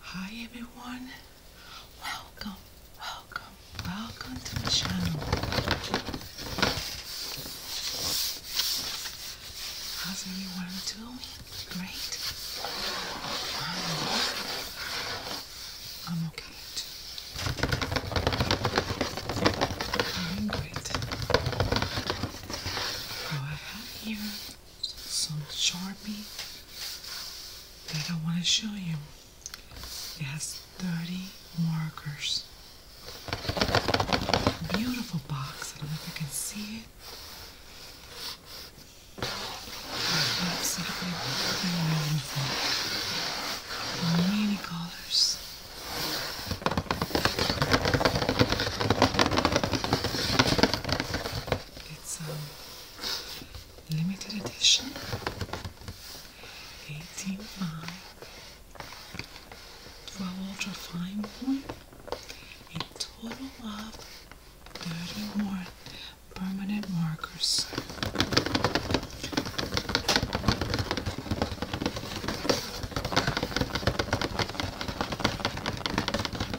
Hi everyone, welcome, welcome, welcome to my channel. How's everyone doing? Great. I'm, okay too. I'm great. So I have some Sharpie that I want to show you. It has 30 markers. Beautiful box. I don't know if you can see it. beautiful. Many colors. It's um, limited edition 18.5 12 ultra fine one a total of 31 permanent markers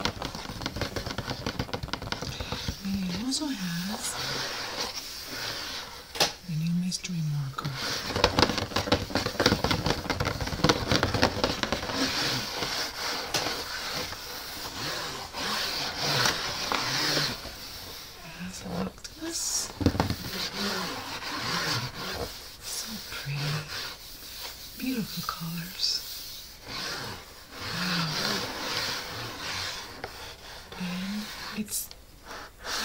we also have a new mystery marker. As looked So pretty. Beautiful colors. Then it's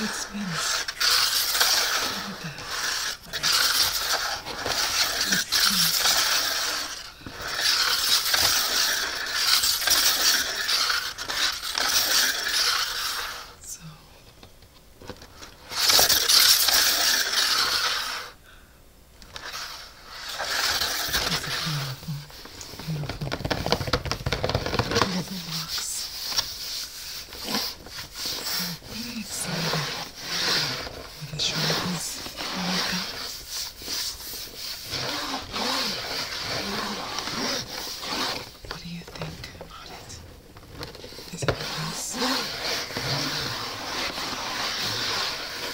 it spins. Look at that. So Beautiful, beautiful leather box. I'm very excited. I'm going to show you this makeup. What do you think about it? Is it nice?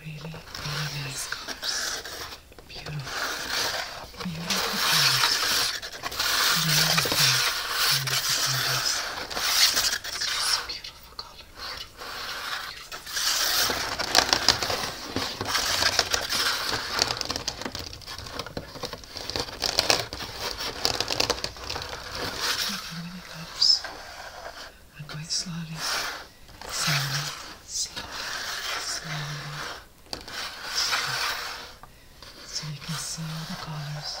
Really, really nice scarves. Beautiful. Beautiful colors. Beautiful, beautiful colors. It's a beautiful color. Beautiful, beautiful. Taking many cups and going slowly sound, sound, sound, sound. So you can see all the colors.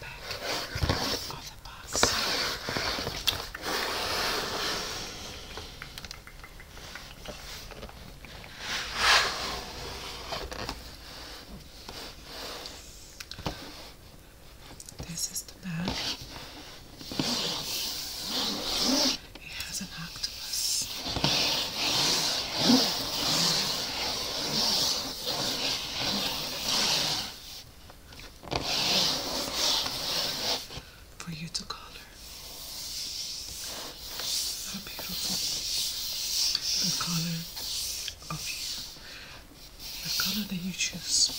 back of the box. This is the back. It has an octopus for you to color. How beautiful the color of you, the color that you choose.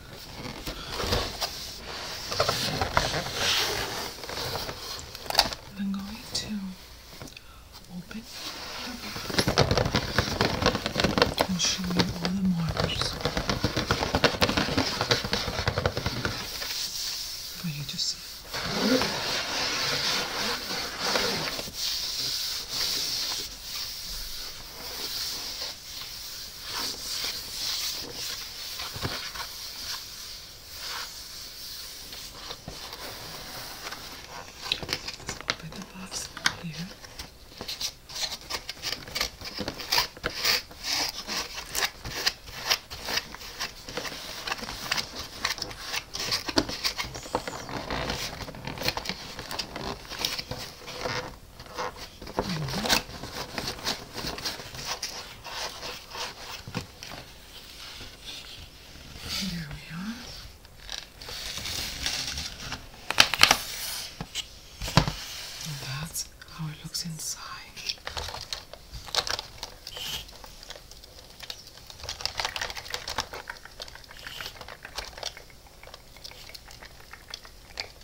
I'm going to open and show you all the markers for you to see. Let's open the box here. There we are. And that's how it looks inside.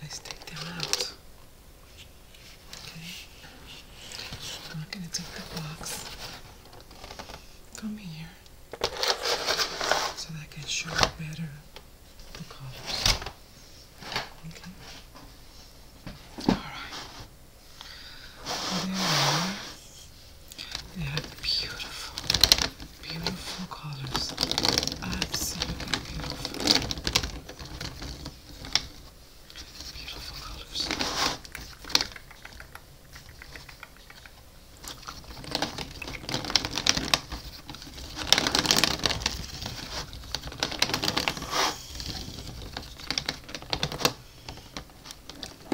Let's take them out. Okay. I'm gonna take the box from here so that can show better the colors. Okay. Alright. There they are. They are beautiful, beautiful colors. Absolutely beautiful. Beautiful colors.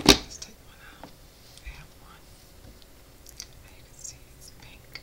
Let's take one out. I one. you can see it's pink.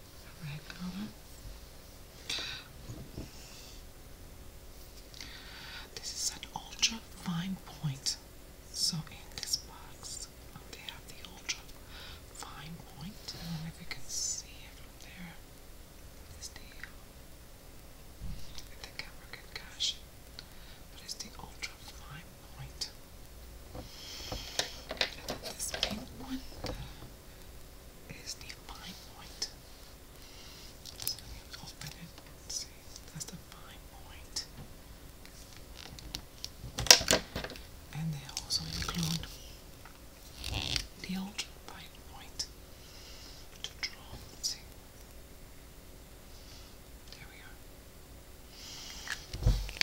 This is an ultra fine point. So in this box, they have the ultra fine point. if you can see from there. It's the if the camera can catch it, but it's the ultra fine point. this pink is the fine point. So I'm open it see. That's the fine point. And they also include the ultra fine point to draw. See? There we are.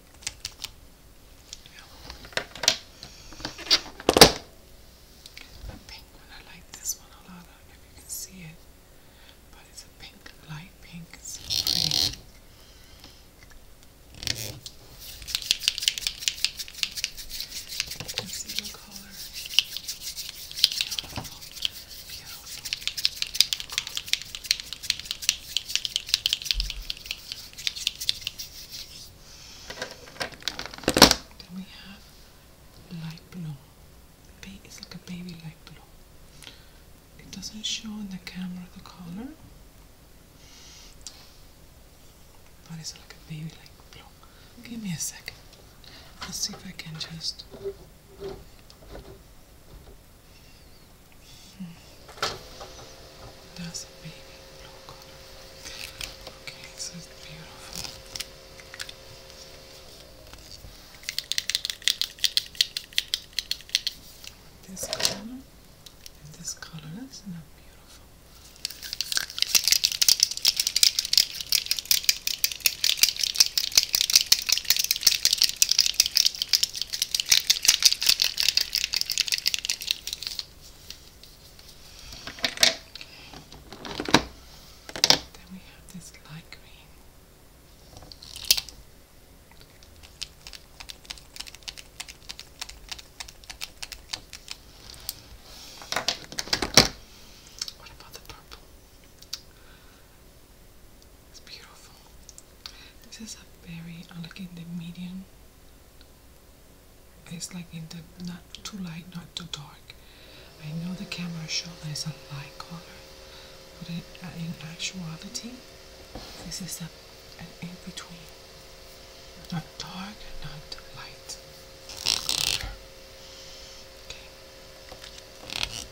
yellow. The pink I like this one a lot. if you can see it, but it's a pink, light pink. It's pretty. Let's see what color. Beautiful, beautiful. Then we have light blue. It's like a baby light blue. It doesn't show on the camera the color, but it's like a baby light blue. Give me a second. Let's see if I can just. That's a baby blue color. Okay, so it's beautiful. This color this color, isn't that beautiful? Then we have this light green. What about the purple? It's beautiful. This is a berry, like in the medium. It's like in the not too light, not too dark. I know the camera showed that it's a light color, but uh, in actuality, this is a, an in between. Not dark, not light. Okay.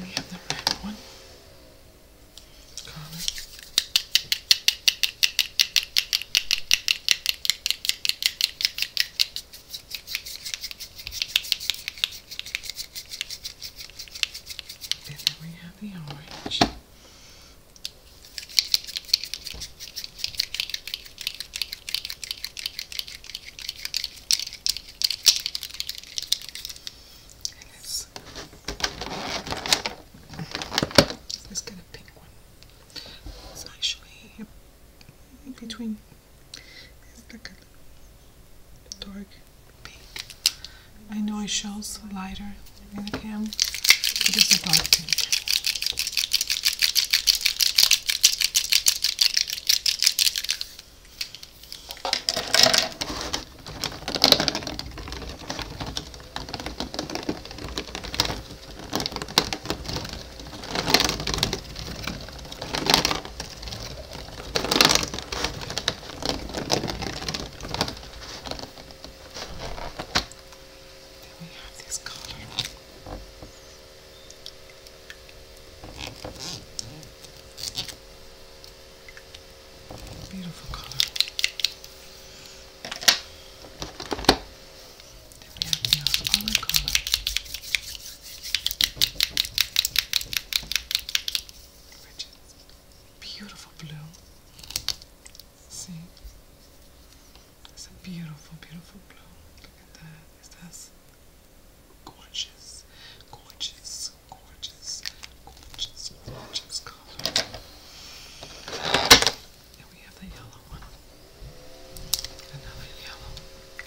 We have the red one. Collar. And then we have the orange. And it's it's pink one. It's actually between it's like a dark pink. I know it shows lighter in the cam, but it's a dark pink. Then we have this color. Beautiful color. Then color. beautiful blue. See? It's a beautiful, beautiful blue. Look at that. Is that Gorgeous, gorgeous, gorgeous, gorgeous, gorgeous color. And we have the yellow one. Another yellow. Another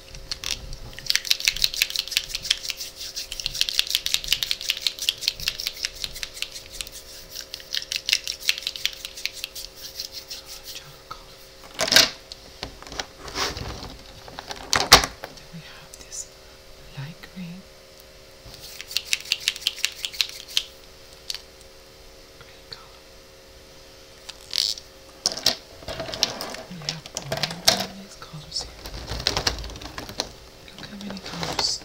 color. Then we have this light green. Green color. We have all of colors here. Look how many colors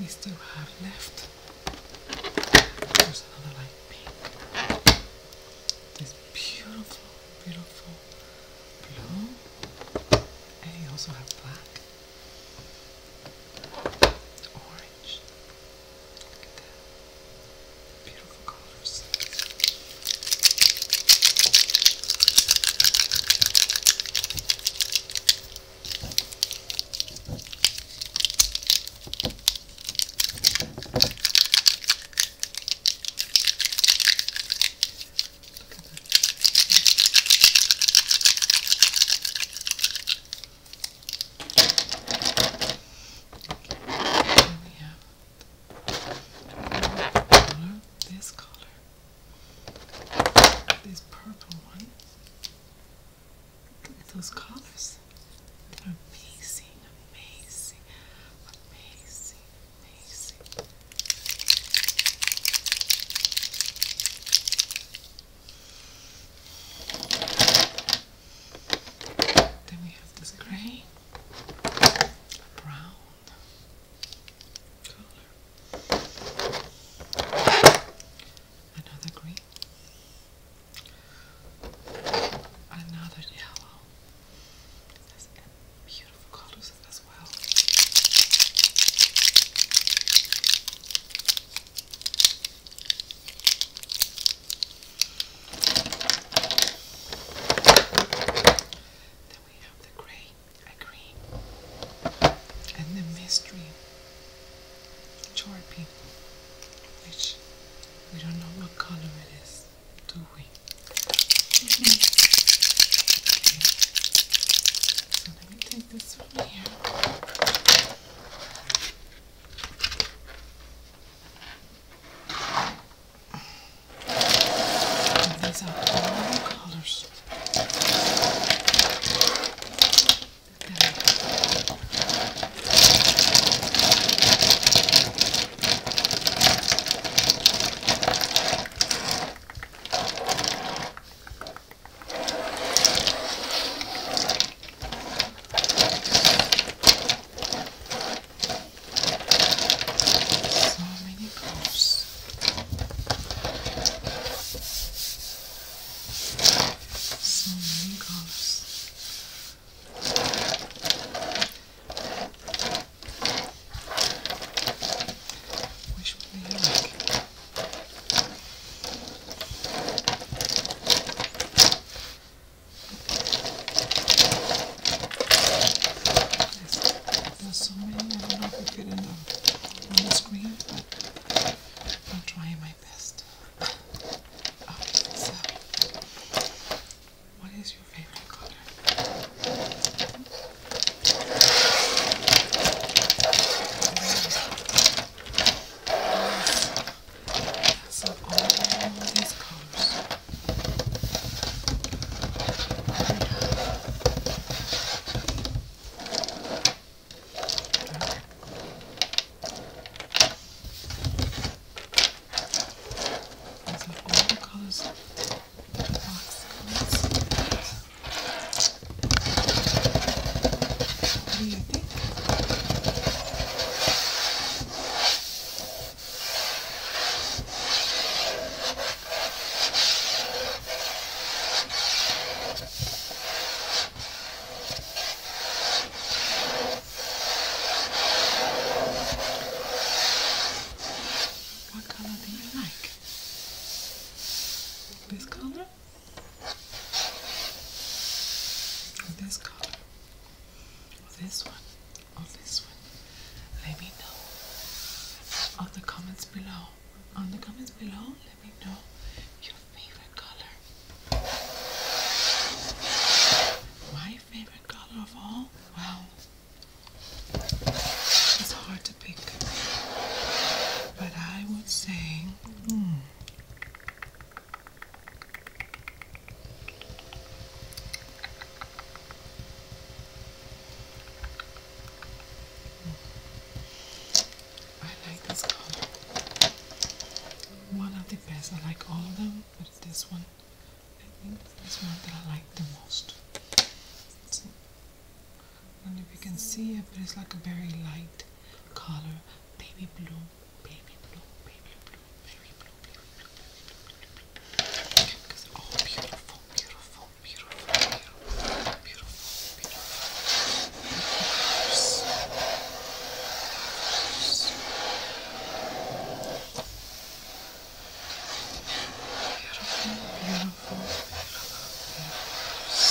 we still have left. There's another light pink. This beautiful, beautiful blue, and you also have black, orange. Look at that. Beautiful colors we have color, this color, this purple one. Look at those colors. They're amazing, amazing, amazing. Then we have this grey, brown color, another green, another yellow. That's, and beautiful colors as well. Then we have the gray, a green, and the mystery chorpy, which we don't know what color it is doorway. Mm -hmm. okay. So let me take this from here. And these are all the colors. Okay. So many balls. So many colors. Which one do you like? There's, there's so many, I don't know if you get enough on the screen, but I'm trying my best. Oh, so. What is your favorite color? So all these colors. And some oil colors. What do you think? What color do you like? This color? this color? this one? this one? Let me know on the comments below. On the comments below, let me know your favorite color. My favorite color of all? Well, it's hard to pick. But I would say, hmm. I like this color. One of the best. I like all of them, but this one I think that's one that I like the most. I don't know if you can see it, but it's like a very light color. Baby blue, baby blue, baby blue, baby blue, baby blue, baby blue. Because they're oh, all beautiful, beautiful, beautiful, beautiful, beautiful, beautiful. Beautiful, beautiful, beautiful.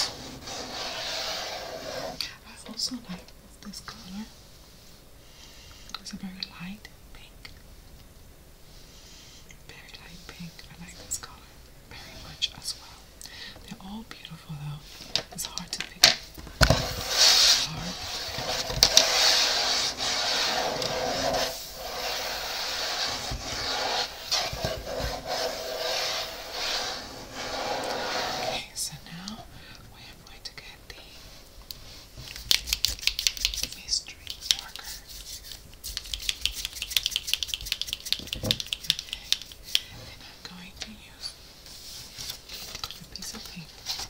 I also like this color. It's a very light pink. Very light pink. I like this color very much as well. They're all beautiful though. It's hard to Okay, so now we are going to get the mystery marker. Okay, and I'm going to use a piece of paper.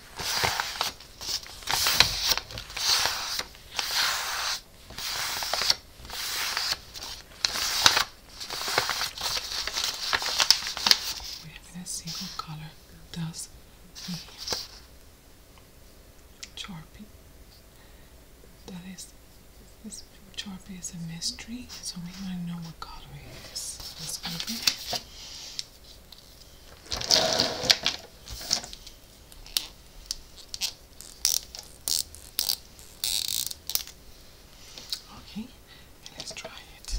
We're gonna see what color does the Sharpie. That is, this Sharpie is a mystery, so we might know what color it Okay, let's try it.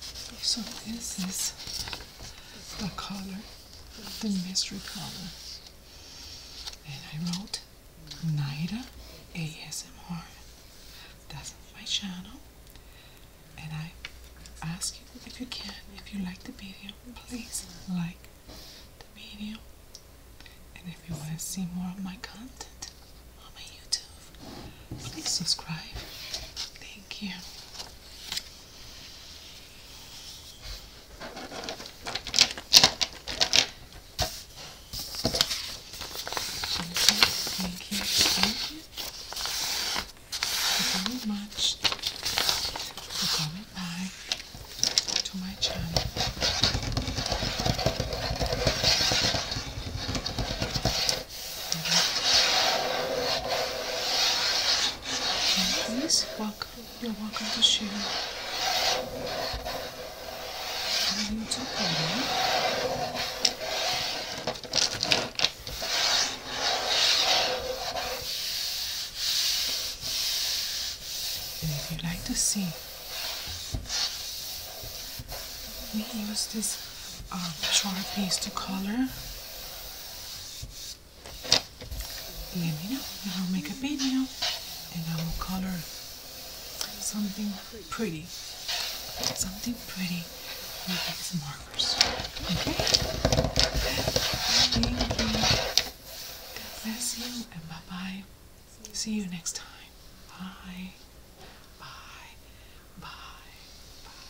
So this is the color, the mystery color. And I wrote Nida ASMR. That's my channel. And I ask you if you can, if you like the video, please like the video. And if you want to see more of my content on my YouTube, please subscribe. Thank you. Thank you, thank you, thank much for coming by to my channel. And this you're welcome to share And if you like to see we use this um, piece to color let me know and I'll make a video and I will color something pretty. Something pretty with these markers. Okay? bless you and bye bye. See you next time. Bye. Bye. Bye.